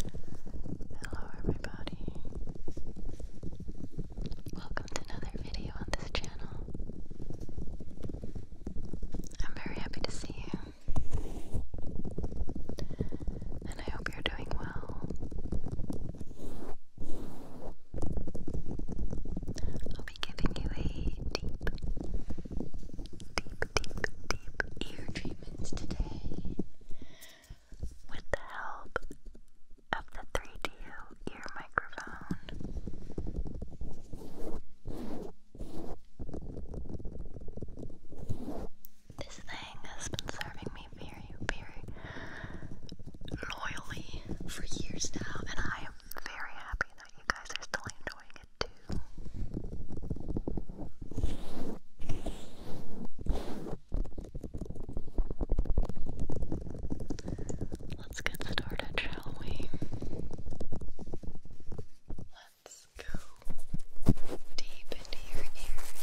Hello everybody. Welcome to another video on this channel. I'm very happy to see you. And I hope you're doing well. I'll be giving you a deep, deep, deep, ear treatments today with the help of the 3DO ear microphone. This thing has been serving me very, very loyally for years now, and I am very happy that you guys are still enjoying it. Let's get started, shall we? Let's go deep into your ears.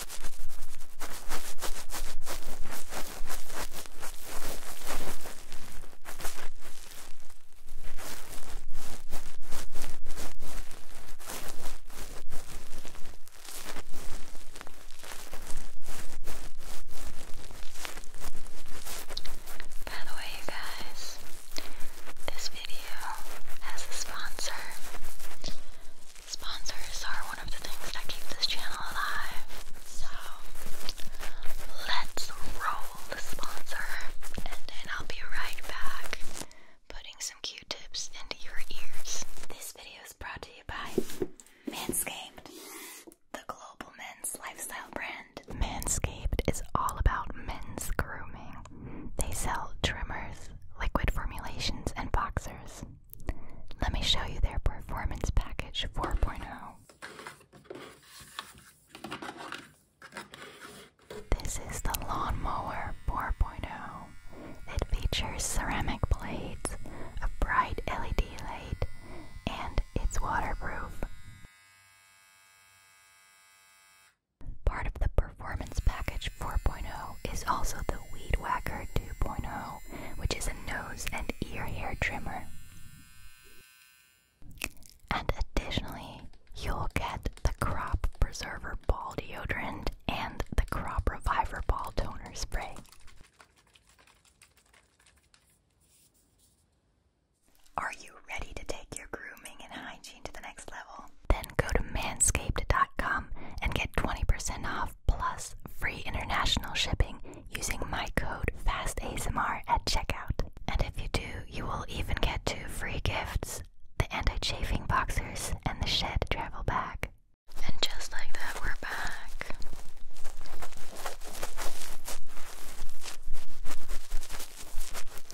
By the way, you guys, this video has a sponsor. Sponsors are one of the things that keep this channel alive. So let's roll the sponsor and then I'll be right back putting some q-tips into your ears. This video is brought to you by Manscaped, the global men's lifestyle brand. Manscaped is all about men's grooming. They sell trimmers, liquid formulations, and boxers. Let me show you their Performance Package 4.0. This is the Lawnmower 4.0. It features ceramic blades, a bright LED light, and it's waterproof. Part of the Performance Package 4.0 is also the Weed Whacker 2.0 which is a nose and ear hair trimmer. And additionally, you'll get the Crop Preserver Ball Deodorant and the Crop Reviver Ball Toner Spray. Are you ready to take your grooming and hygiene to the next level? Then go to manscaped.com and get 20% off plus free international shipping using my code FASTASMR at checkout. And if you do, you will even get two free gifts the anti chafing boxers and the shed travel bag. And just like that, we're back.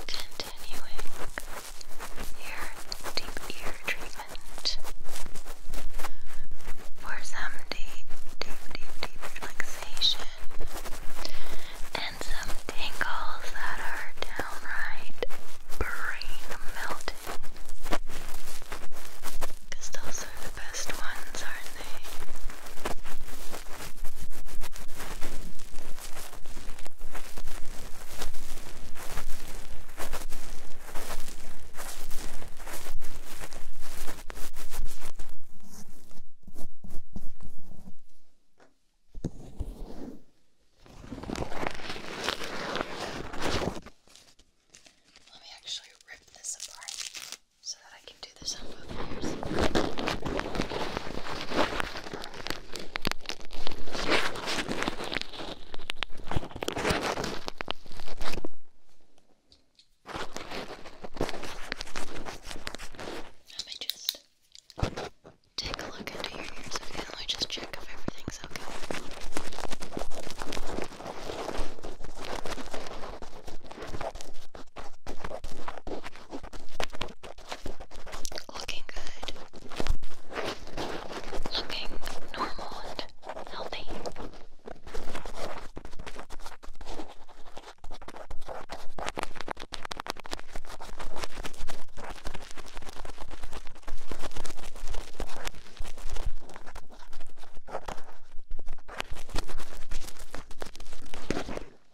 Continuing your deep ear treatment treatment for some deep, deep, deep, deep relaxation and some tingles that are downright brain melting. those are the best ones, aren't they? Let me actually rip this apart so that I can do this on both ears. Let me just take a look into your ears again. Let me just check if everything's okay. Looking good. Looking normal and healthy.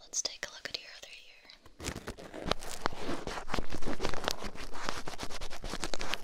Let's take a look at your other ear.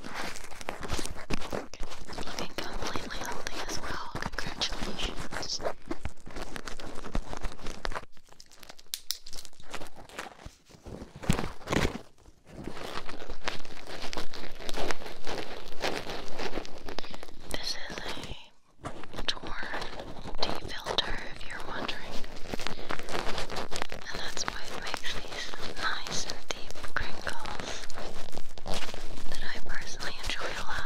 Being completely healthy as well. Congratulations. This is a torn D filter, if you're wondering, and that's why it makes the these nice and deep crinkles that I personally enjoy a lot.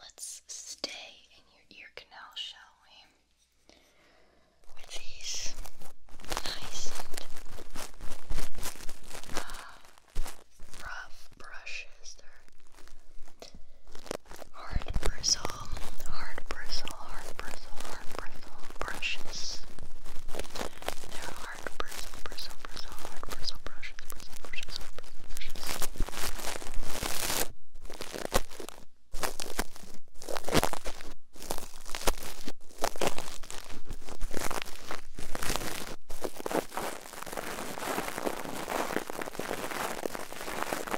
Let's stay in your ear canal, shall we? With these nice and uh, rough brushes hard bristle, hard bristle, hard bristle, hard bristle brushes. They're hard bristle, bristle, bristle, hard bristle brushes, bristle brushes, hard bristle brushes. They're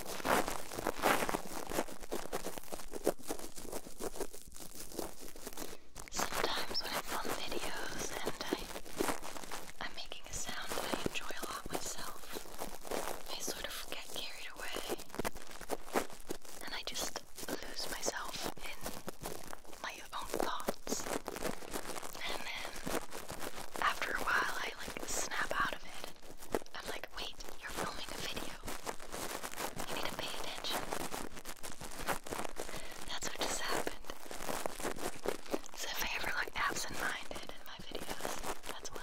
Sometimes when I film videos and I, I'm making a sound that I enjoy a lot myself, I sort of get carried away and I just lose myself in my own thoughts. And then after a while I like snap out of it I'm like, wait, you're filming a video. You need to pay attention. That's what just happened. So if I ever look absent-minded in my videos, that's why.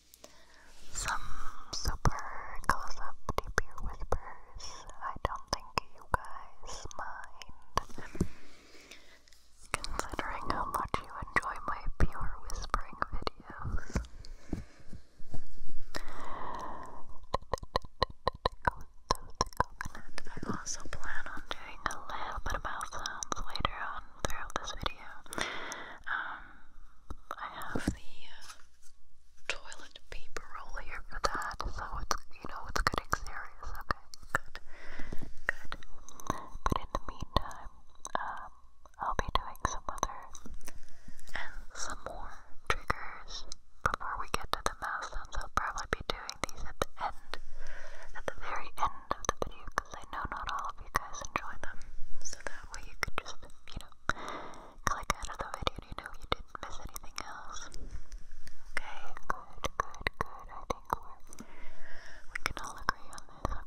some super close-up deep whispers. I don't think you guys mind. Considering how much you enjoy my pure whispering videos. I also plan on doing a little bit of mouth sounds later on throughout this video. Um, I have the uh, toilet paper roll here for that, so it's, you know, it's getting serious, okay, good, good, but in the meantime, um, I'll be doing some other, and some more triggers before we get to the mouse sounds, I'll probably be doing these at the end, at the very end of the video, because I know not all of you guys enjoy them, so that way you can just, you know, click out of the video to know you didn't miss anything else. Okay, good, good, good. I think we can all agree on this.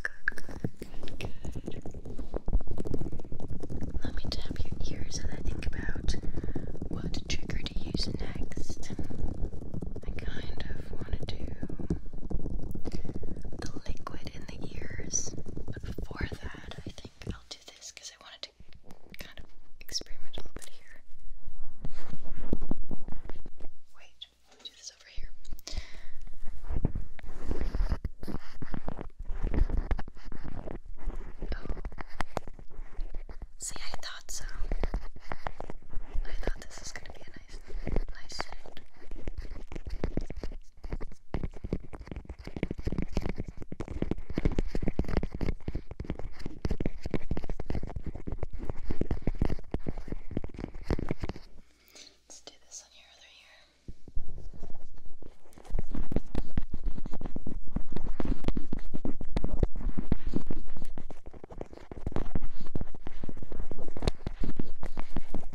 Okay, good, good, good, good, good. Let me tap your ears and think about what trigger to use next. I kind of want to do the liquid in ears. But before that, I think I'll do this because I wanted to kind of experiment a little bit here. Wait, do this over here. Oh. See, I thought so. I thought this was gonna be a nice, nice Let's do this on your other ear. Okay.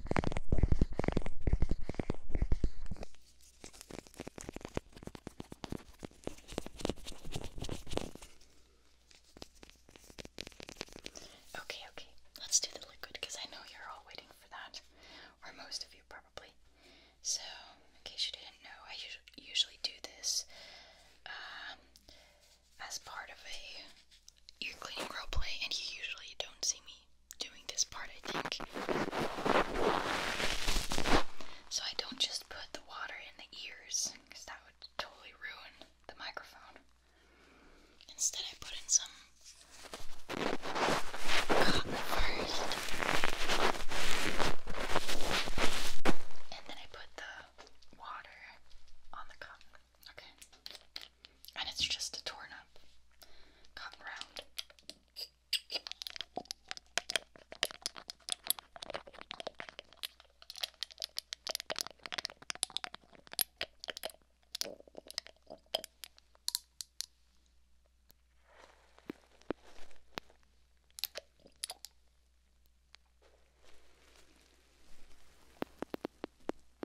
Okay, okay, let's do the liquid because I know you're all waiting for that, or most of you probably. So, in case you didn't know, I usually do this um, as part of a you're cleaning role play, and you usually don't see me doing this part, I think. So I don't just put the water in the ears, because that would totally ruin the microphone. Instead, I put in some cotton first, and then I put the water on the cotton Okay. And it's just a torn up cotton round.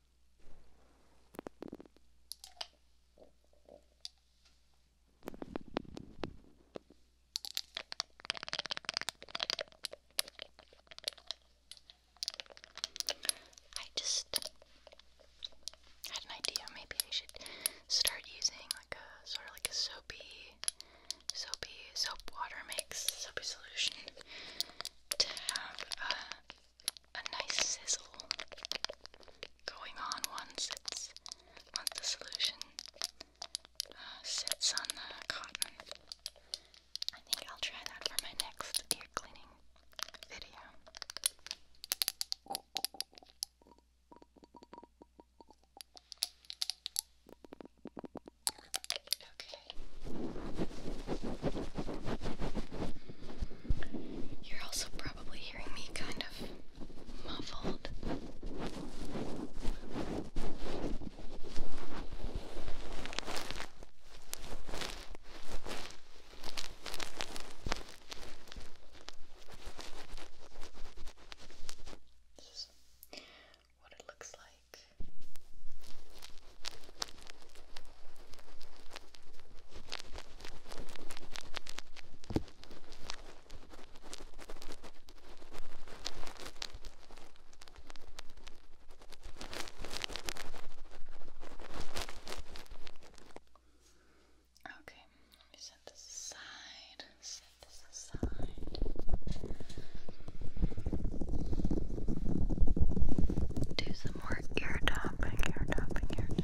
I just had an idea. Maybe I should start using like a sort of like a soapy, soapy soap water mix, soapy solution to have uh, a nice sizzle going on once it's once the solution uh, sits on the cotton. I think I'll try that for my next ear cleaning video. Okay. You're also probably hearing me kind of muffled. This is what it looks like Okay, let set this aside. Set this aside. Do some more ear tapping, ear tapping, ear tapping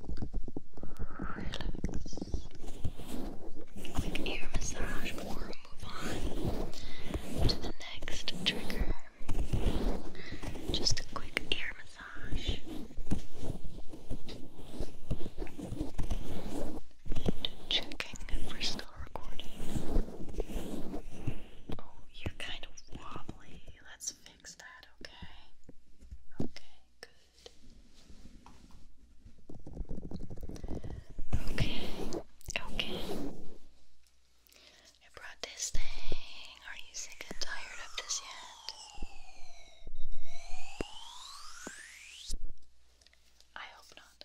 relax. Quick ear massage before we move on to the next trigger. Just a quick ear massage. checking if still recording. Oh, you're kind of wobbly. Let's fix that, okay? Okay, good. Okay, okay. I brought this thing. Are you sick and tired of this yet? I hope not.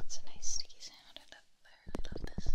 It's a nice sticky sound. I, love, I really love this.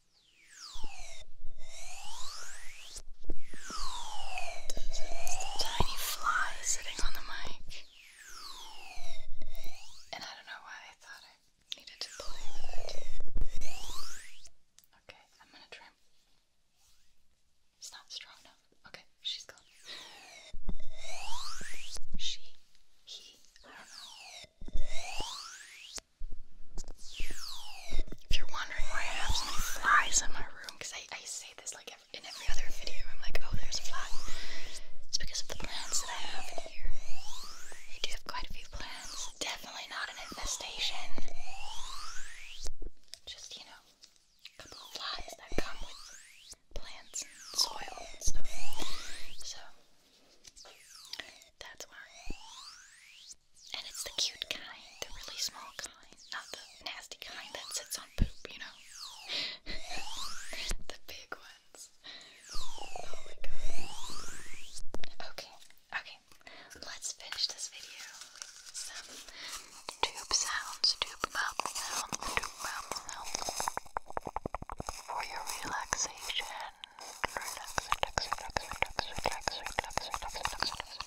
This is the tiny fly sitting on the mic. And I don't know why I thought I needed to play with it. Okay, I'm gonna try. It's not strong enough. Okay, she's gone. She, he, I don't know. If you're wondering why I have so many flies in my room, because I, I say this like in every other video, I'm like, oh, there's a fly. It's because of the plants that I have in here. I do have quite a few plants. Definitely not an infestation. Just, you know, a couple of flies that come with plants soil and stuff. So, that's why. And it's the cute kind, the really small kind, not the nasty kind that sits on poop, you know? the big ones. Okay, okay. Let's finish this video some tube sounds, tube mouth sounds, tube mouth sounds. For your relaxation. relax, relax, relax, relax, relax, relax, relax, relax, relax.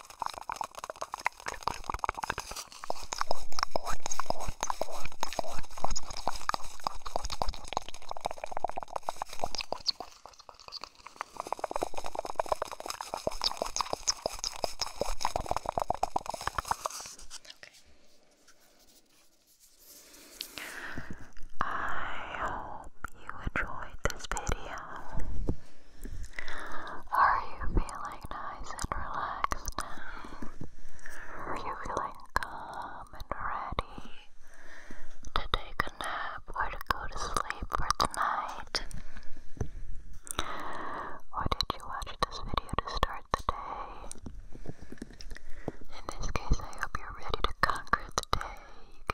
I hope you enjoyed this video. Are you feeling nice and relaxed Are you feeling calm and ready to take a nap or to go to sleep for tonight? Or did you watch this video to start the day? In this case, I hope you're ready to conquer the day,